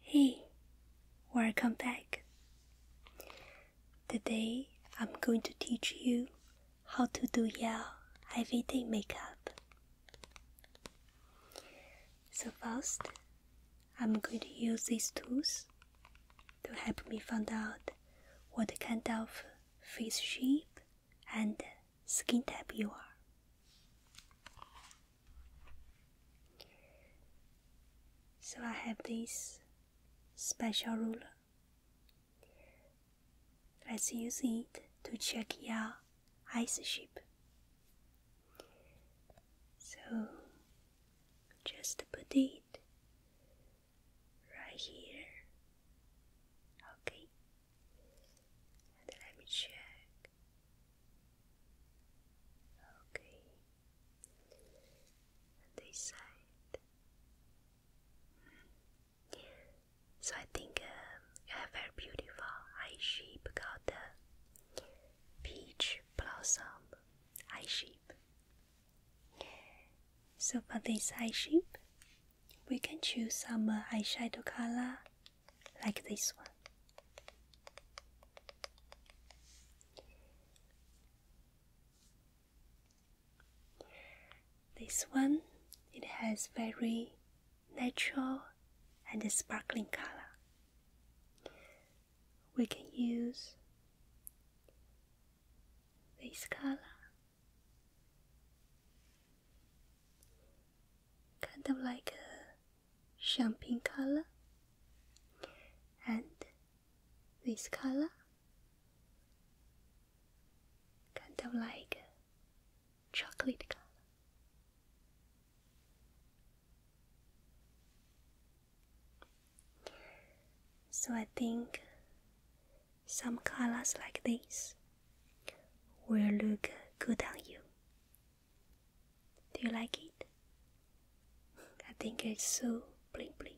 Hey, welcome back. Today I'm going to teach you how to do your everyday makeup. So first, I'm going to use these tools to help me find out what kind of face shape and skin type you are. So I have this special ruler. Let's use it to check your ice ship. So just put it right here. Okay. And let me check. Okay. this side. So I think um, very beautiful eye shape called the peach blossom eye shape. So for this eye shape, we can choose some uh, eye shadow color like this one. This one, it has very natural and sparkling color. We can use this color, kind of like a champagne color and this color kind of like chocolate color so I think some colors like this will look good on you do you like it? I think it's so bling bling.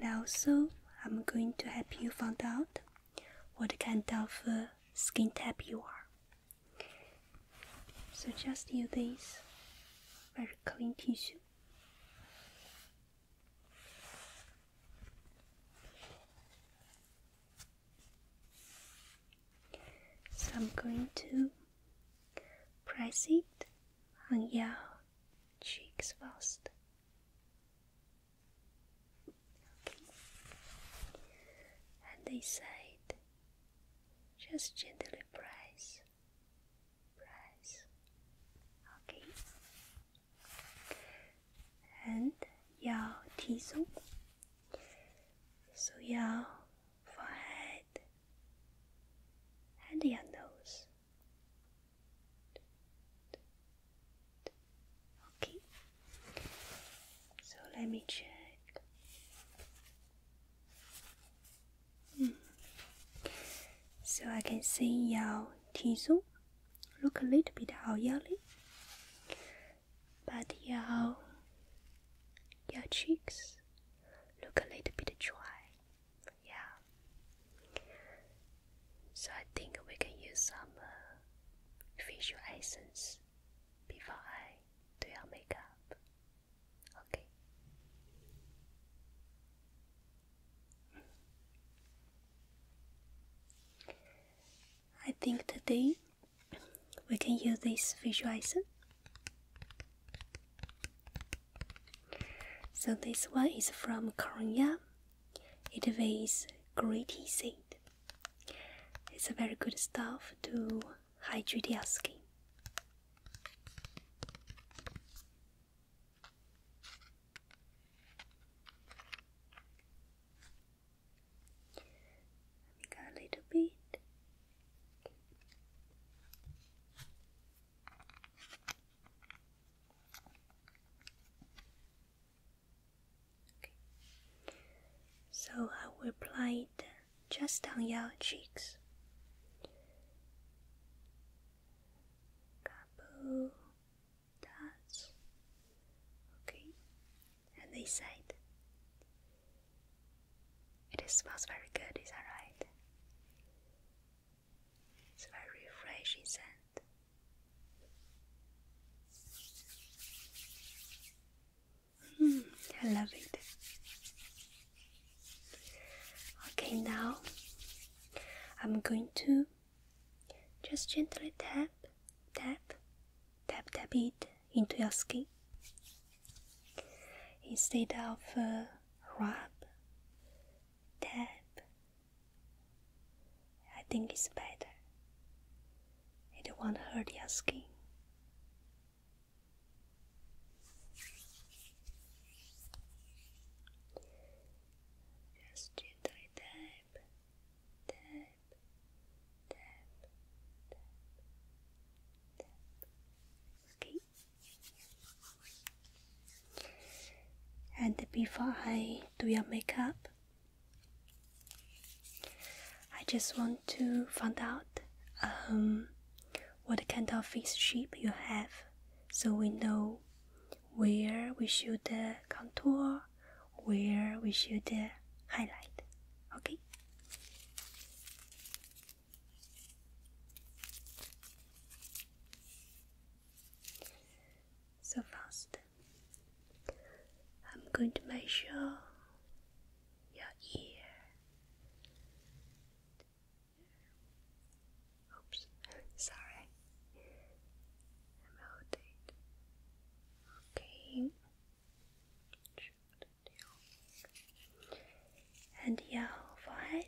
And also, I'm going to help you find out what kind of uh, skin type you are. So just use this very clean tissue. So I'm going to press it on your cheeks first and they said, just gently press, press, okay. And 要提松，so 要 forehead and your nose. Okay. So let me check. Hmm. So I can see your teeth look a little bit oily, but your your cheeks look a little bit dry. Yeah. So I think we can use some uh, facial before I do your makeup. Okay. I think today we can use this facial essence. So this one is from Korea it weighs gritty sand. It's a very good stuff to hydrate your skin. Got a little bit. So I will apply it just on your cheeks. Couple dots. Okay. And they said It smells very good, is that right? It's very refreshing scent. Hmm, I love it. Okay, now I'm going to just gently tap, tap, tap, tap it into your skin instead of uh, rub, tap, I think it's better. It won't hurt your skin. Just gently tap, tap, tap, tap, tap. Okay. And before I do your makeup, I just want to find out um, what kind of fish shape you have so we know where we should contour, where we should highlight. Okay? So fast. I'm going to measure your ear. Oops, sorry. i Okay. And your forehead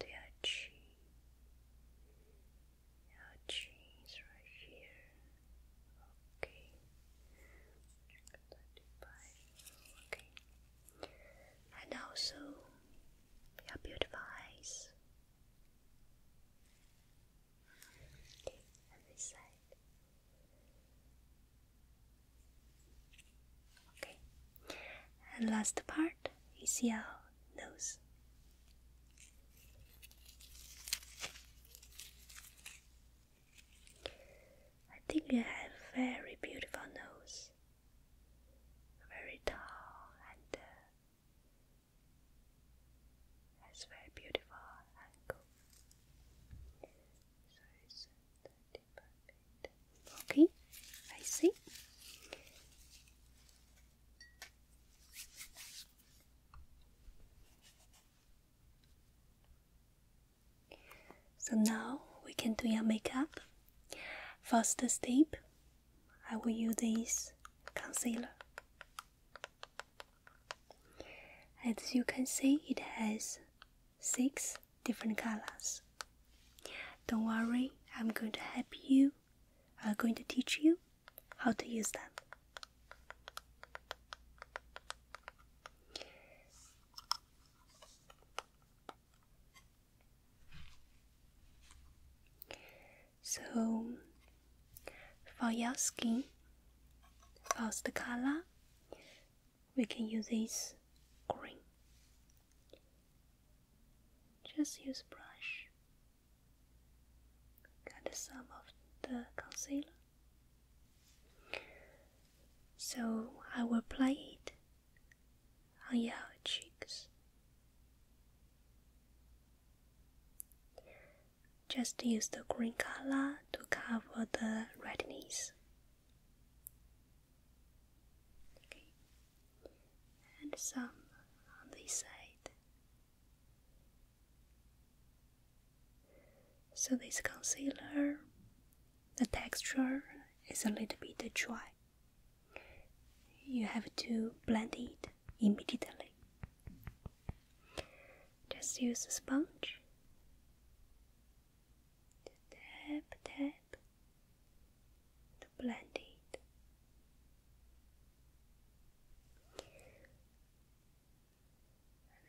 your chin. Yeah, trees right here. Okay. Okay. And also your beautiful eyes. Okay, and this side. Okay. And last part heart, ACL, nose. I think you have a very beautiful nose, very tall and uh, has very beautiful angle. Okay, I see. So now we can do your makeup. First step, I will use this concealer. As you can see, it has six different colors. Don't worry, I'm going to help you I'm going to teach you how to use them. So, for your skin, for the color, we can use this green. Just use brush Got some of the concealer. So I will apply it on your cheeks. Just use the green color to cover the redness. And some on this side. So, this concealer, the texture is a little bit dry. You have to blend it immediately. Just use a sponge. Tap, tap to blend it.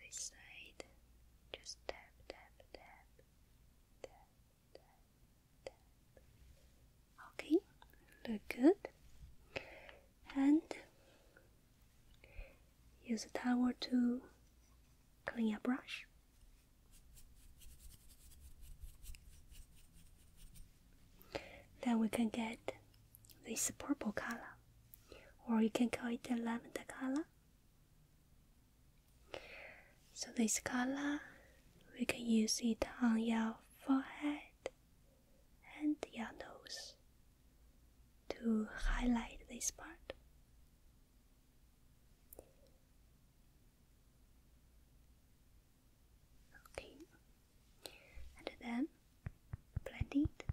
this side, just tap, tap, tap, tap, tap, Okay, look good. And use a towel to clean your brush. Then we can get this purple color, or you can call it the lavender color. So this color, we can use it on your forehead and your nose to highlight this part. Okay, and then blend it.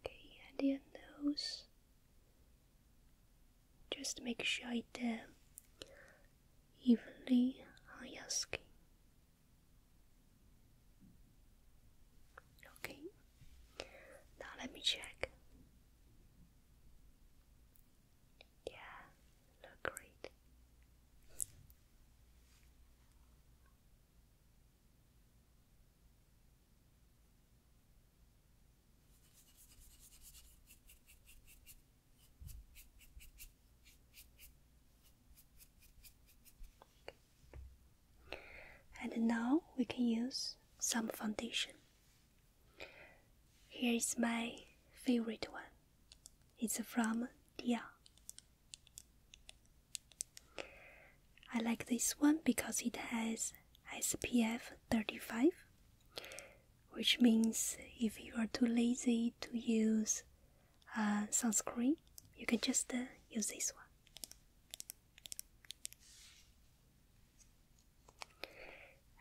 Okay, and your nose. Just make sure it uh, um, evenly on your skin. Okay, now let me check. Yeah, look great. And now we can use some foundation. Here is my favorite one. It's from Dia. I like this one because it has SPF 35, which means if you are too lazy to use uh, sunscreen, you can just uh, use this one.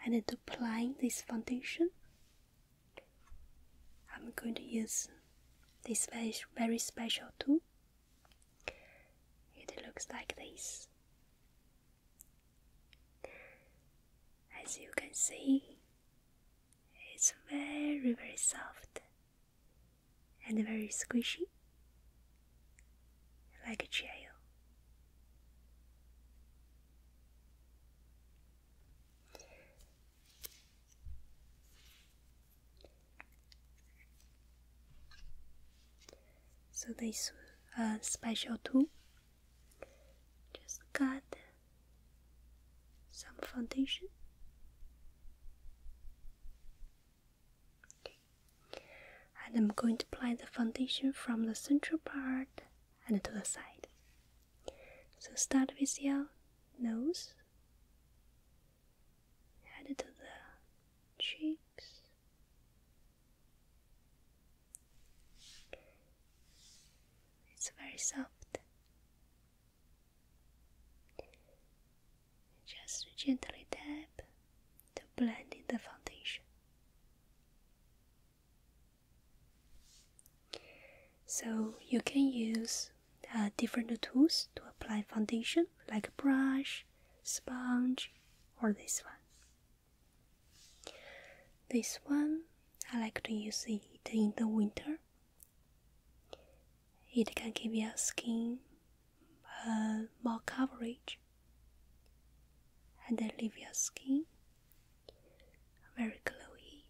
And to apply this foundation, I'm going to use this very special tool. It looks like this. As you can see, it's very, very soft and very squishy, like a chair. So this uh, special tool just got some foundation and I'm going to apply the foundation from the central part and to the side. So start with your nose, head to the cheeks, it's very soft. Just gently tap to blend in the foundation. So you can use uh, different tools to apply foundation like a brush, sponge or this one. This one I like to use it in the winter. It can give your skin uh, more coverage and they leave your skin very glowy.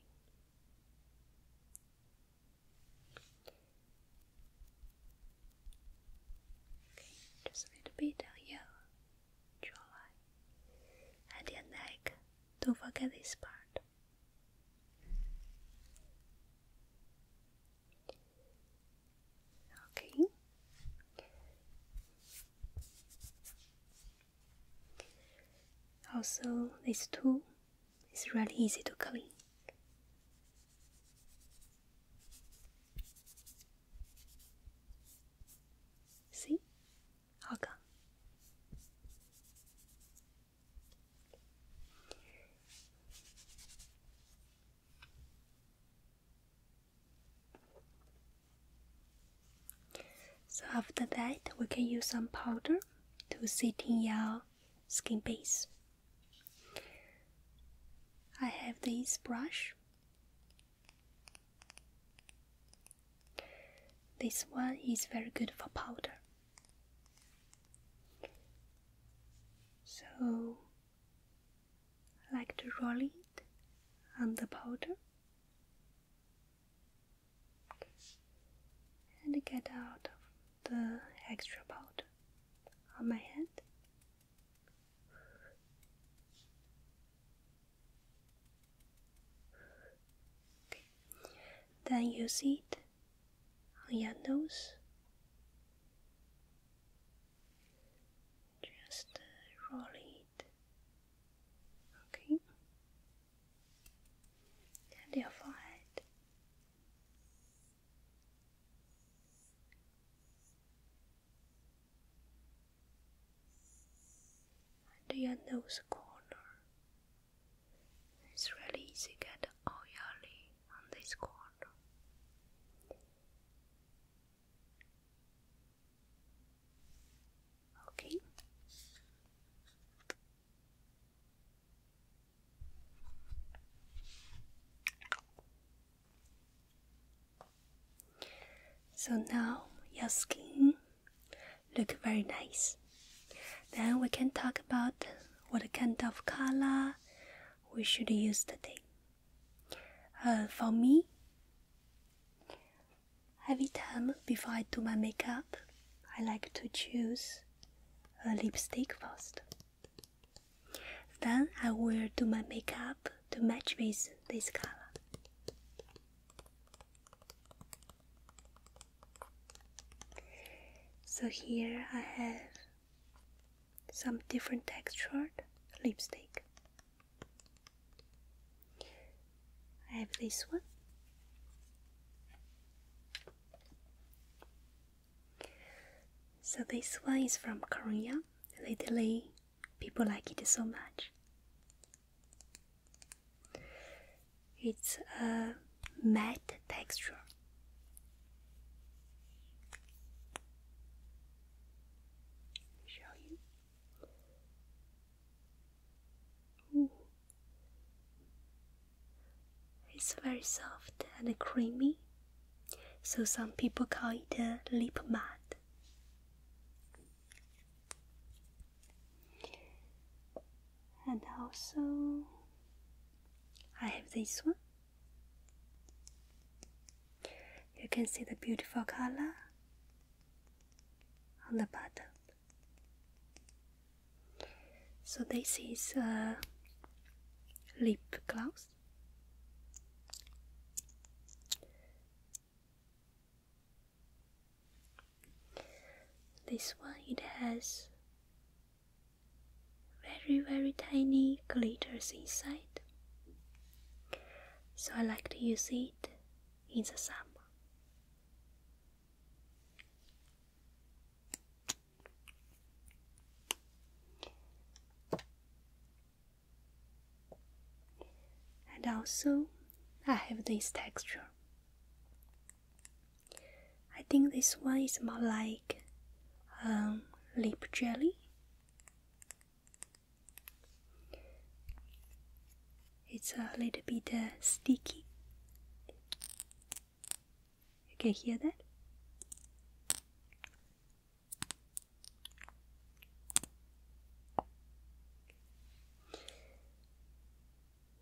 Okay, just a little bit on your jawline and your neck. Don't forget this part. Okay. Also, this tool is really easy to clean. See? All gone. So after that, we can use some powder to set in your skin base. I have this brush. This one is very good for powder. So like the rolling and the powder. And get out of the extra powder on my hand. Okay. Then use it on oh, your nose. Just uh, roll it. Okay. And your forehead. And your nose corner. It's really easy to get all your lid on this corner. Okay. So now your skin look very nice. Then we can talk about what kind of color we should use today. Uh, for me, every time before I do my makeup, I like to choose a lipstick first. Then I will do my makeup to match with this color. So here I have some different textured lipstick. I have this one. So this one is from Korea. Lately, people like it so much. It's a matte texture. Show you. It's very soft and creamy, so some people call it a lip mud. And also, I have this one. You can see the beautiful color on the bottom. So this is a lip gloss. This one it has very very tiny glitters inside so I like to use it in the summer. And also I have this texture. I think this one is more like um, lip jelly. It's a little bit uh, sticky. You can hear that?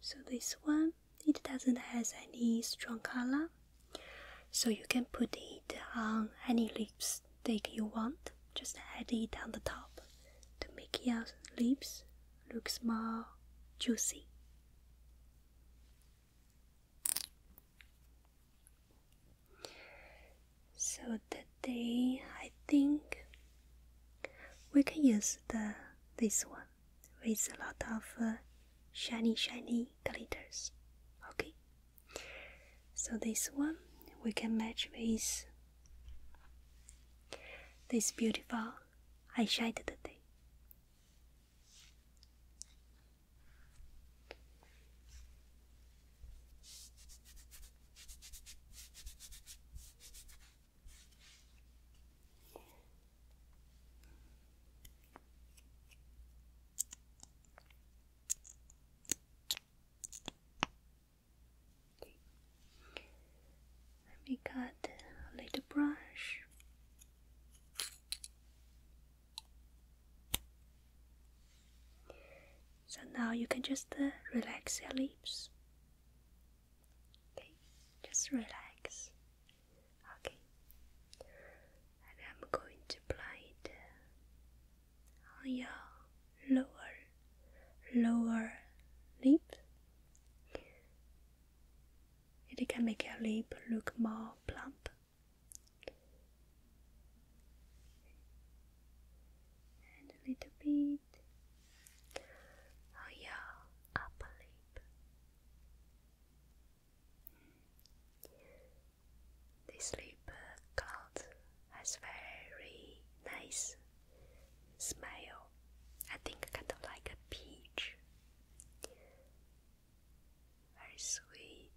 So this one, it doesn't has any strong color. So you can put it on any lipstick you want. Just add it on the top to make your lips look more juicy. So today I think we can use the this one with a lot of uh, shiny shiny glitters okay so this one we can match with this beautiful eyeshadow today Okay. Let me cut a little brush. So now you can just uh, relax your lips. Okay, just relax Okay, and I'm going to apply it uh, on your lower lower lip. It can make your lip look more plump. And a little bit on your upper lip. This river cloud has very nice smell. I think kind of like a peach. Very sweet.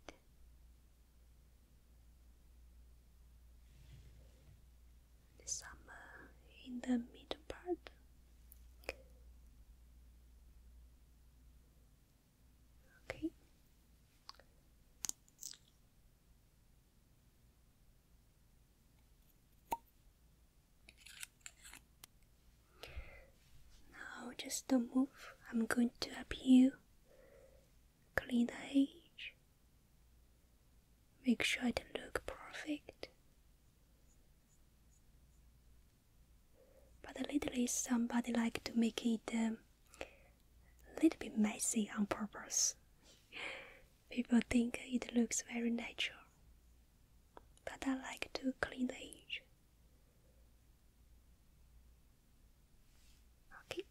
The in the middle part. Okay. Now just don't move. I'm going to help you clean the edge. Make sure it look perfect. But lately, somebody like to make it a um, little bit messy on purpose. People think it looks very natural, but I like to clean the edge. Okay.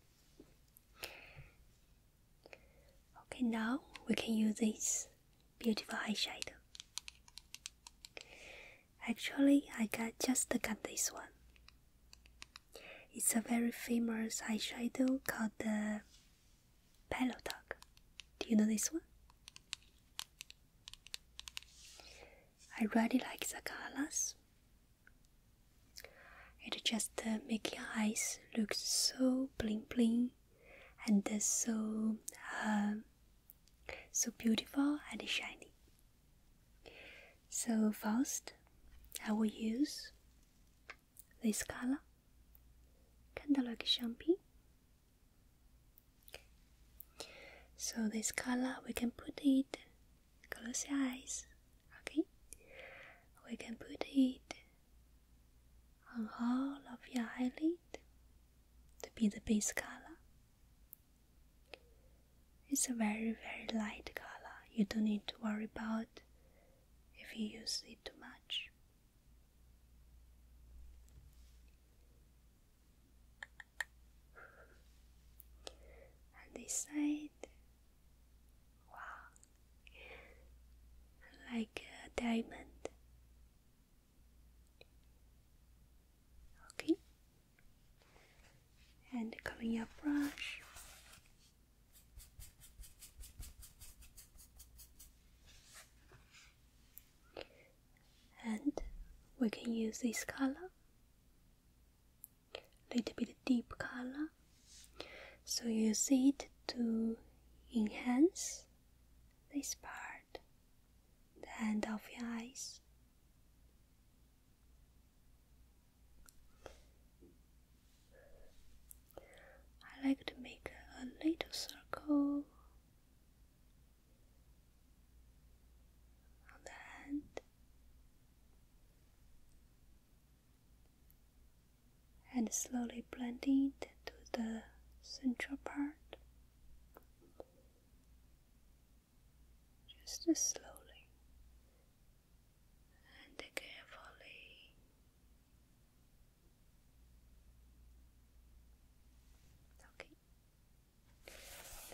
Okay, now we can use this beautiful eyeshadow. Actually, I got just got this one. It's a very famous eyeshadow called the Pillow Talk. Do you know this one? I really like the colors. It just uh, make your eyes look so bling bling and uh, so so beautiful and shiny. So first, I will use this color, kind of champagne. So this color, we can put it, close your eyes, okay? We can put it on all of your eyelid to be the base color. It's a very, very light color. You don't need to worry about if you use it too much. And this side, wow, like a uh, diamond. Okay, and covering your brush. And we can use this color, little bit deep color, so you use it to enhance this part the end of your eyes. I like to make a little circle on the hand and slowly blending it to the central part just slowly and carefully.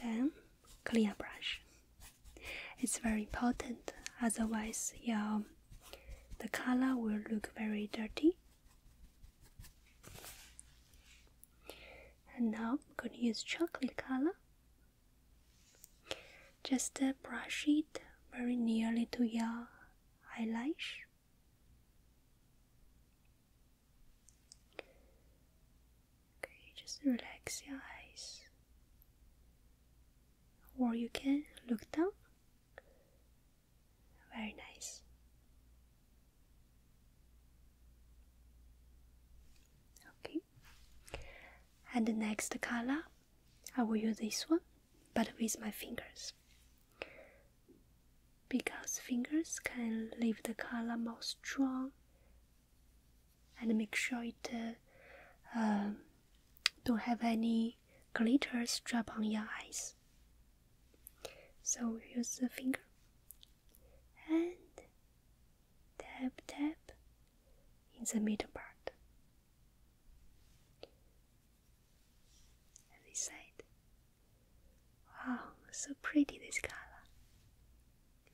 Then clear brush. It's very important, otherwise your the color will look very dirty and now I'm going to use chocolate color just brush it very nearly to your eyelash okay just relax your eyes or you can look down very nice Okay, and the next color, I will use this one, but with my fingers, because fingers can leave the color more strong and make sure it uh, um, don't have any glitter strap on your eyes. So use the finger and tap tap in the middle part. And this side. Wow, so pretty this color.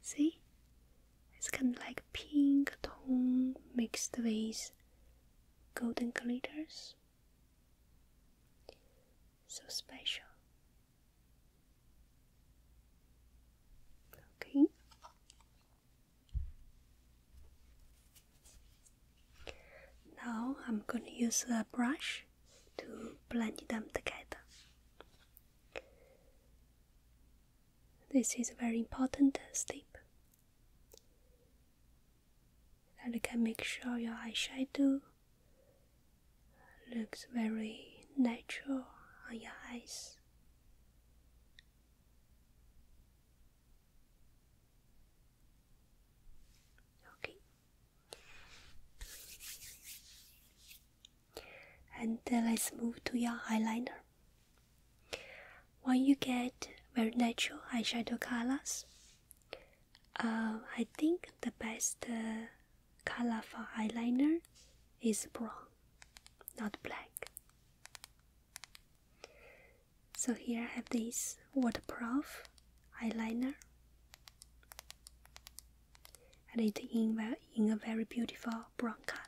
See? It's kind of like pink tone mixed with golden glitters so special. Okay. Now I'm going to use a brush to blend them together. This is a very important step that you can make sure your eyeshadow Looks very natural on your eyes. Okay. And let's move to your eyeliner. When you get very natural eyeshadow colors, um, I think the best uh, color eyeliner is brown, not black. So here I have this waterproof eyeliner, and it in, in a very beautiful brown color.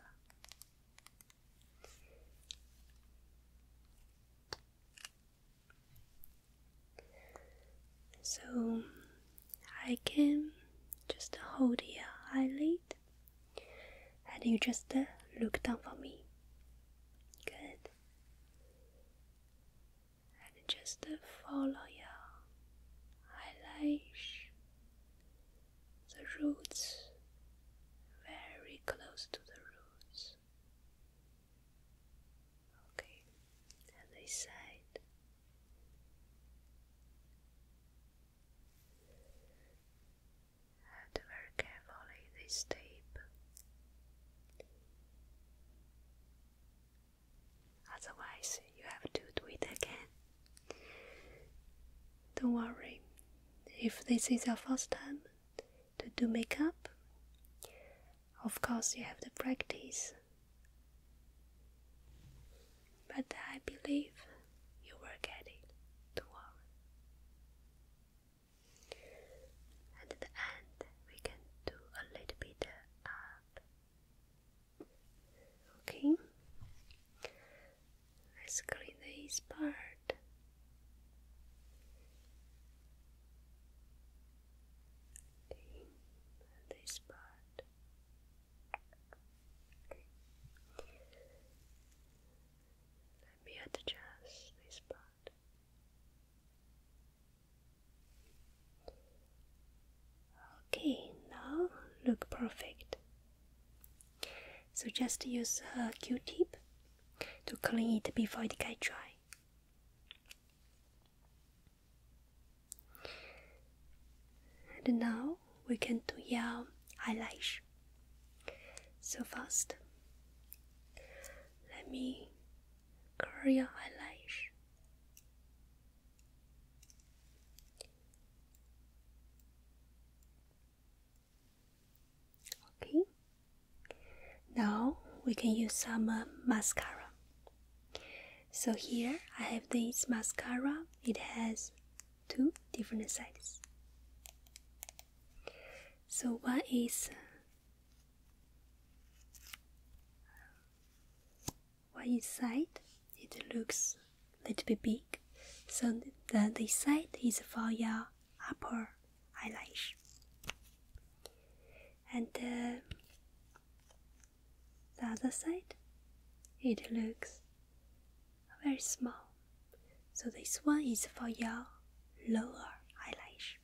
So I can just hold your eyelid and you just uh, look down for me. Good. And just uh, follow your eyelash, the roots, very close to the roots. Okay, and this said, And very carefully this tape. Otherwise, you have to do it again. Don't worry. If this is your first time to do makeup, of course, you have the practice. But I believe you will get it tomorrow. At the end, we can do a little bit up. Okay, let's clean this part. Okay, this part. Okay. Let me adjust this part. Okay, now look perfect. So just use a Q-tip to clean it before it get dry. And now we can do your eyelash. So first, let me curl your eyelash. Okay. Now we can use some uh, mascara. So here I have this mascara. It has two different sizes. So one is one inside. It looks a little bit big. So the this side is for your upper eyelash. And the. Uh, the other side, it looks very small. So this one is for your lower eyelash.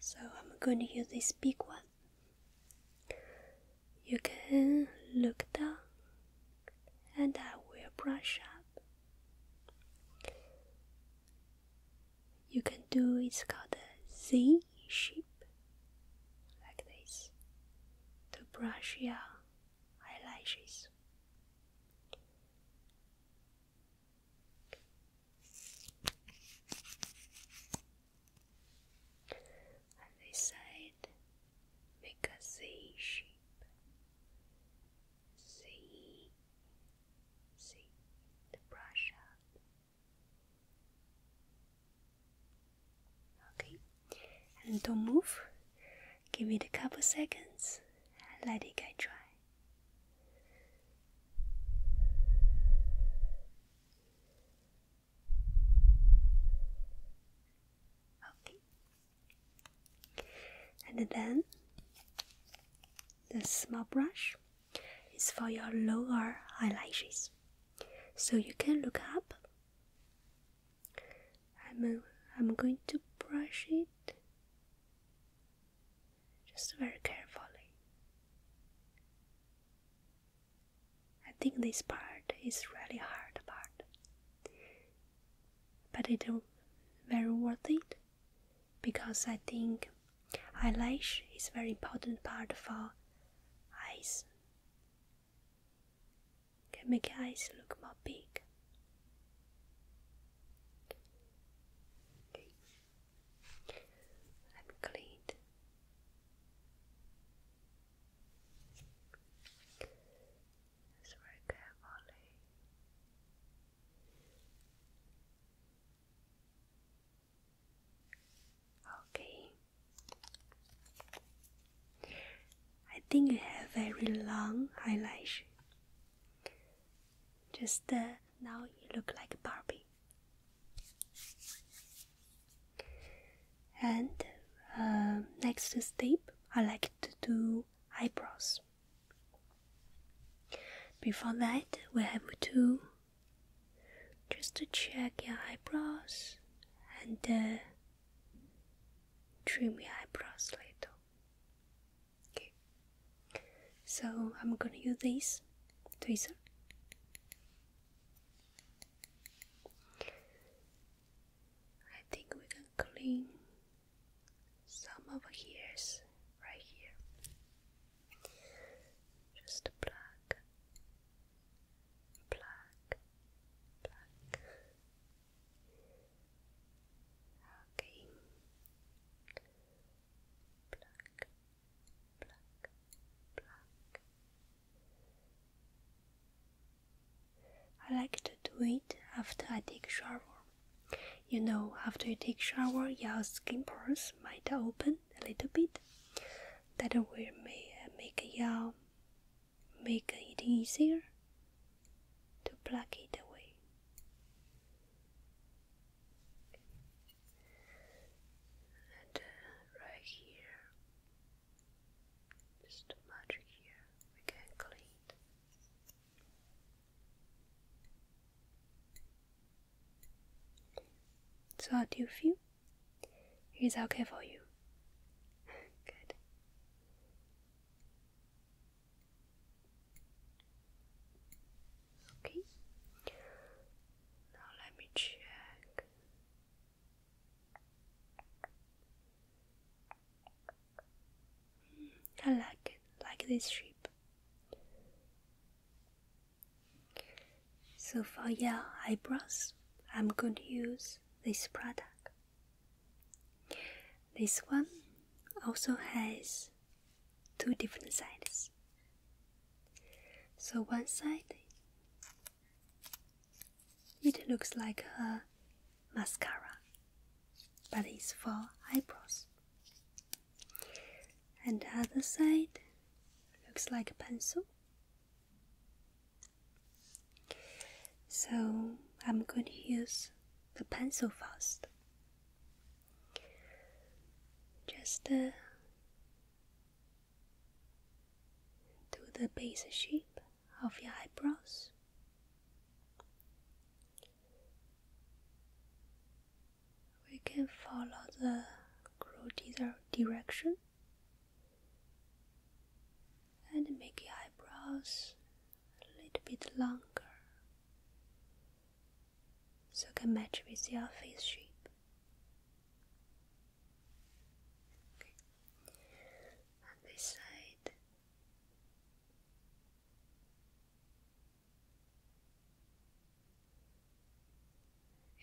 So I'm going to use this big one you can look down and I will brush up. You can do it's called a Z shape, like this, to brush your eyelashes and they said, Make a Z shape. Z, Z, the brush up. Okay, and don't move. Give it a couple seconds and let it get dry. Okay. And then the small brush is for your lower eyelashes. So you can look up. I'm, uh, I'm going to brush it just very carefully. I think this part is really hard part, but it's very worth it because I think eyelash is very important part for eyes. Can make eyes look more big. Okay. clean very carefully. Okay. I think you have very long eyelash. Just uh, now you look like Barbie. And um, next step, I like to do eyebrows. Before that, we have to just to check your eyebrows and uh, trim your eyebrows later. Okay. So I'm gonna use this tweezer. I think we can clean some of here right here. Just pluck, pluck, pluck. Okay. Pluck, pluck, pluck, I like to do it after I take shower. You know, after you take shower, your skin pores might open a little bit. That will may, uh, make your make it easier to pluck it away. Uh, right here. There's too much here, we can clean. So how do you feel? Is okay for you? Good. Okay. Now let me check. I like like this shape. So for your eyebrows, I'm going to use this product. This one also has two different sides. So one side it looks like a mascara, but it's for eyebrows. And the other side looks like a pencil. So I'm going to use the pencil first. Just uh, to the base shape of your eyebrows. We can follow the grow direction and make your eyebrows a little bit longer so it can match with your face shape this side.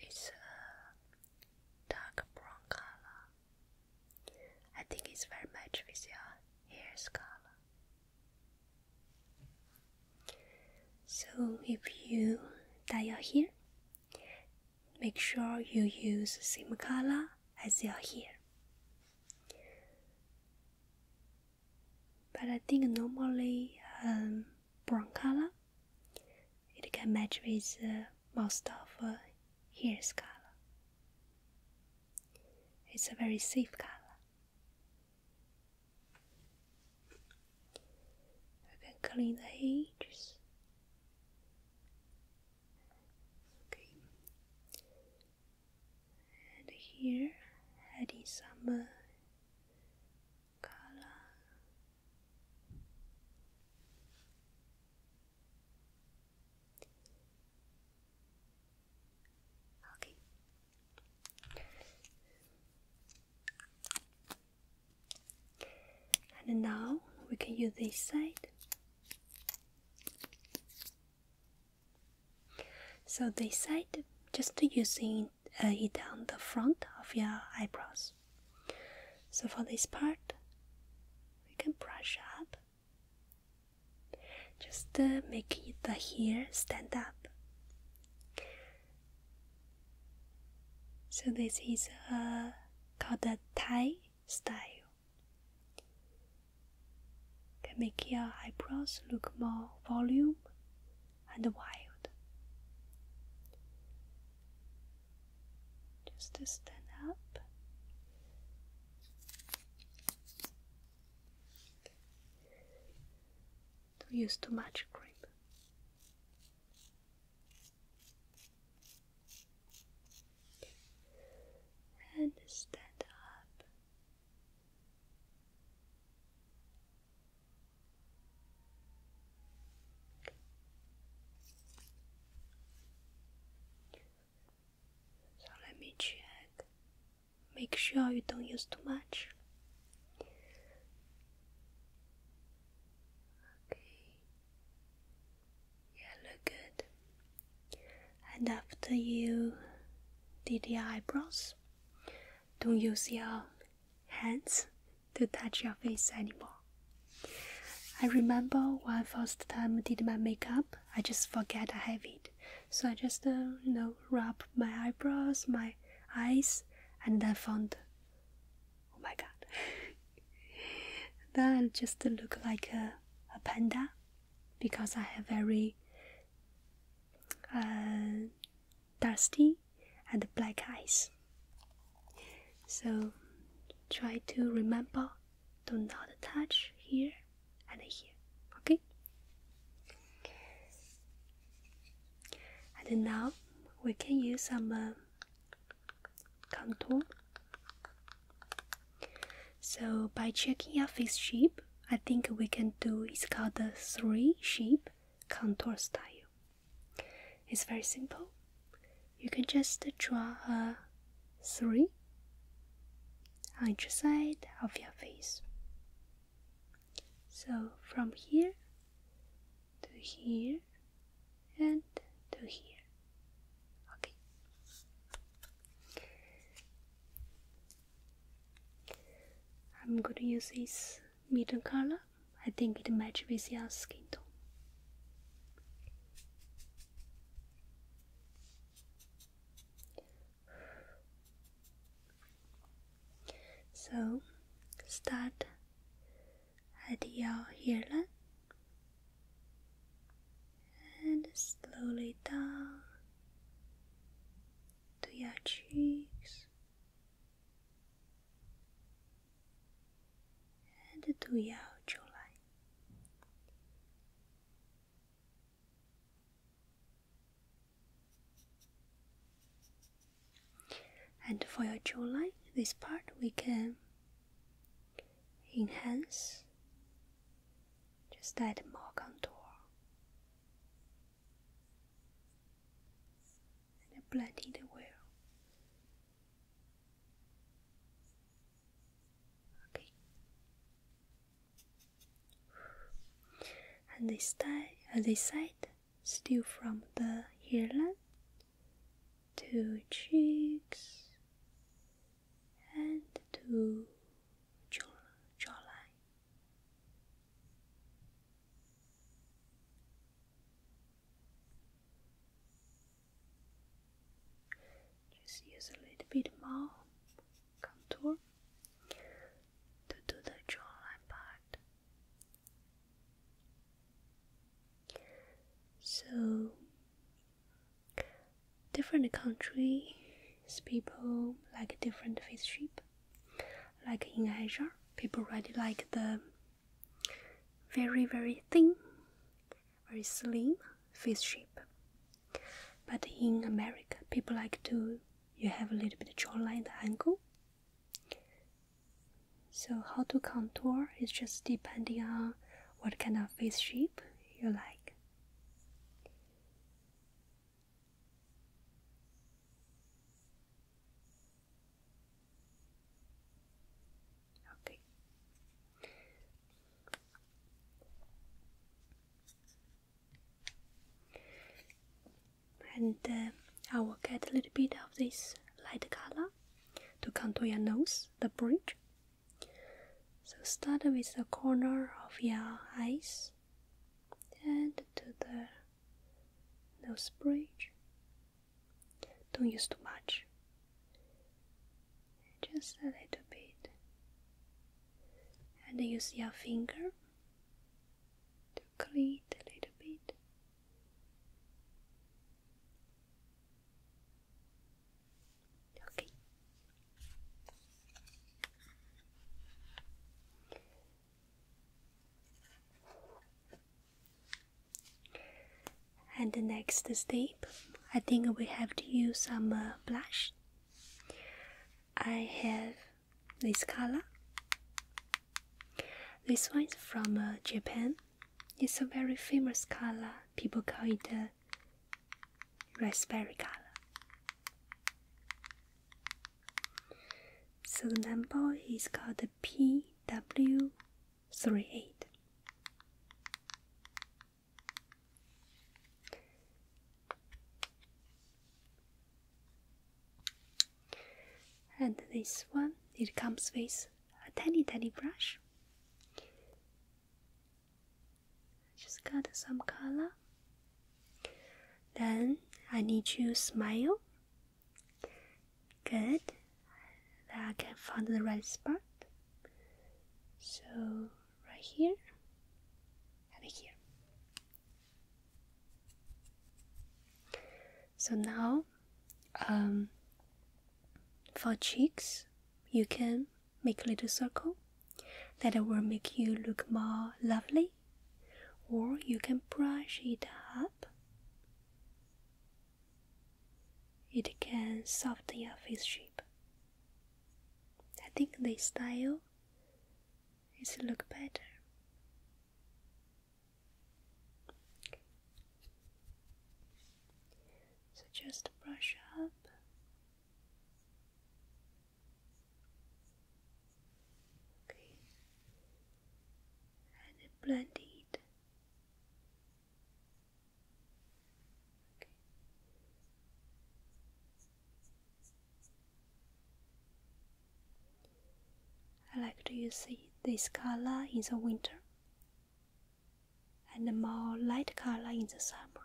It's a dark brown color. I think it's very much with your hair's color. So if you dye your hair, make sure you use same color as your hair. But I think normally um, brown color it can match with uh, most of uh, hair's color. It's a very safe color. I can clean the edges. Okay. And here adding some color. Okay. And now we can use this side. So this side, just using uh, it on the front of your eyebrows. So for this part, we can brush up. Just uh, make it the hair stand up. So this is uh, called the Thai style. Can make your eyebrows look more volume and wild. Just to stand up. Don't use too much grip and stand up. So let me check. Make sure you don't use too much. Yeah, look good. And after you did your eyebrows, don't use your hands to touch your face anymore. I remember when first time I did my makeup, I just forget I have it. So I just uh, you know rub my eyebrows, my eyes, and then found Oh my god. then just look like a, a panda because I have very uh, dusty and black eyes. So try to remember do not touch here and here. Okay? And now we can use some uh, Contour. So by checking a fixed shape, I think we can do is called the three shape contour style. It's very simple. You can just draw a three on each side of your face. So from here to here and to here. Okay. I'm going to use this medium color. I think it matches with your skin tone. So, start at your hairline and slowly down to your cheeks and to your jawline. And for your jawline, this part we can enhance, just add more contour. And blend it well. Okay. And this side, And uh, this side, still from the hairline, two cheeks, and two jaw, jawline. Just use a little bit more contour to do the jawline part. So different countries people like different fish shape. Like in Asia, people really like the very very thin, very slim fish shape. But in America, people like to you have a little bit jawline angle. So how to contour is just depending on what kind of face shape you like. Okay. And uh, I will get a little bit of this light color to contour your nose, the bridge. So start with the corner of your eyes and to the nose bridge. Don't use too much. Just a little bit. And use your finger to clean a little bit. And the next step, I think we have to use some uh, blush. I have this color this one is from uh, Japan. It's a very famous color. People call it the raspberry color. So the number is called PW38. And this one, it comes with a tiny tiny brush. Just got some color. Then I need you smile. Good. Then I can find the right spot. So right here and here. So now um, for cheeks, you can make a little circle that will make you look more lovely, or you can brush it up. It can soften your face shape. I think this style is look better. So just brush up. Okay. And blend it. Okay. I like to use this color in the winter and more light color in the summer.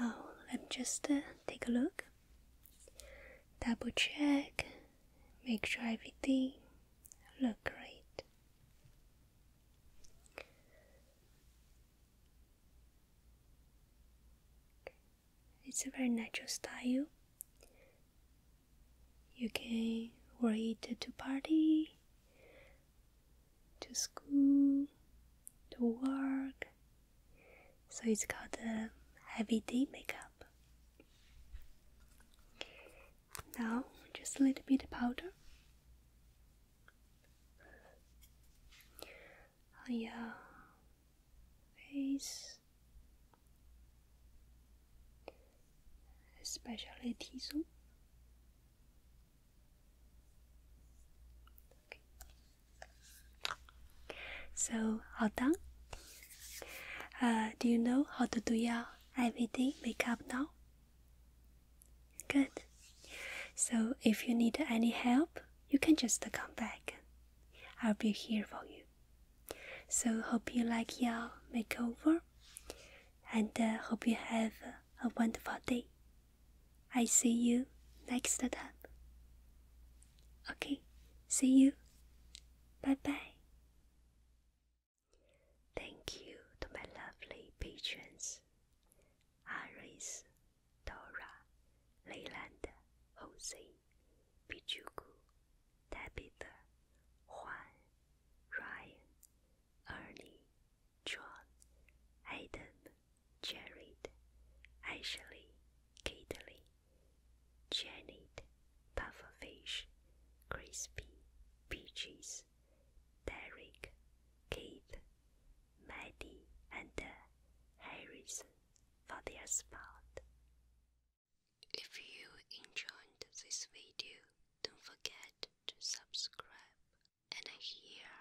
Now let me just uh, take a look, double check, make sure everything look great. It's a very natural style. You can wear it to party, to school, to work. So it's called a heavy day makeup. Now, just a little bit of powder. On oh, your face, especially tissue. Okay. So, all done. Uh, do you know how to do your everything make up now? Good. So if you need any help, you can just come back. I'll be here for you. So hope you like your makeover and uh, hope you have a wonderful day. I see you next time. Okay, see you. Bye bye. Thank you to my lovely patrons Aris, Dora, Leland, Jose, Pichuku, Tabitha, Juan, Ryan, Ernie, John, Adam, Jared, Ashley, Caitlin, Janet, pufferfish, crispy, peaches, Derek, Keith, Maddie, and uh, Harrison for their spot. If you enjoyed this video, don't forget to subscribe. And here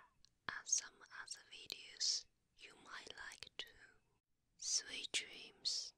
are some other videos you might like too. Sweet dreams.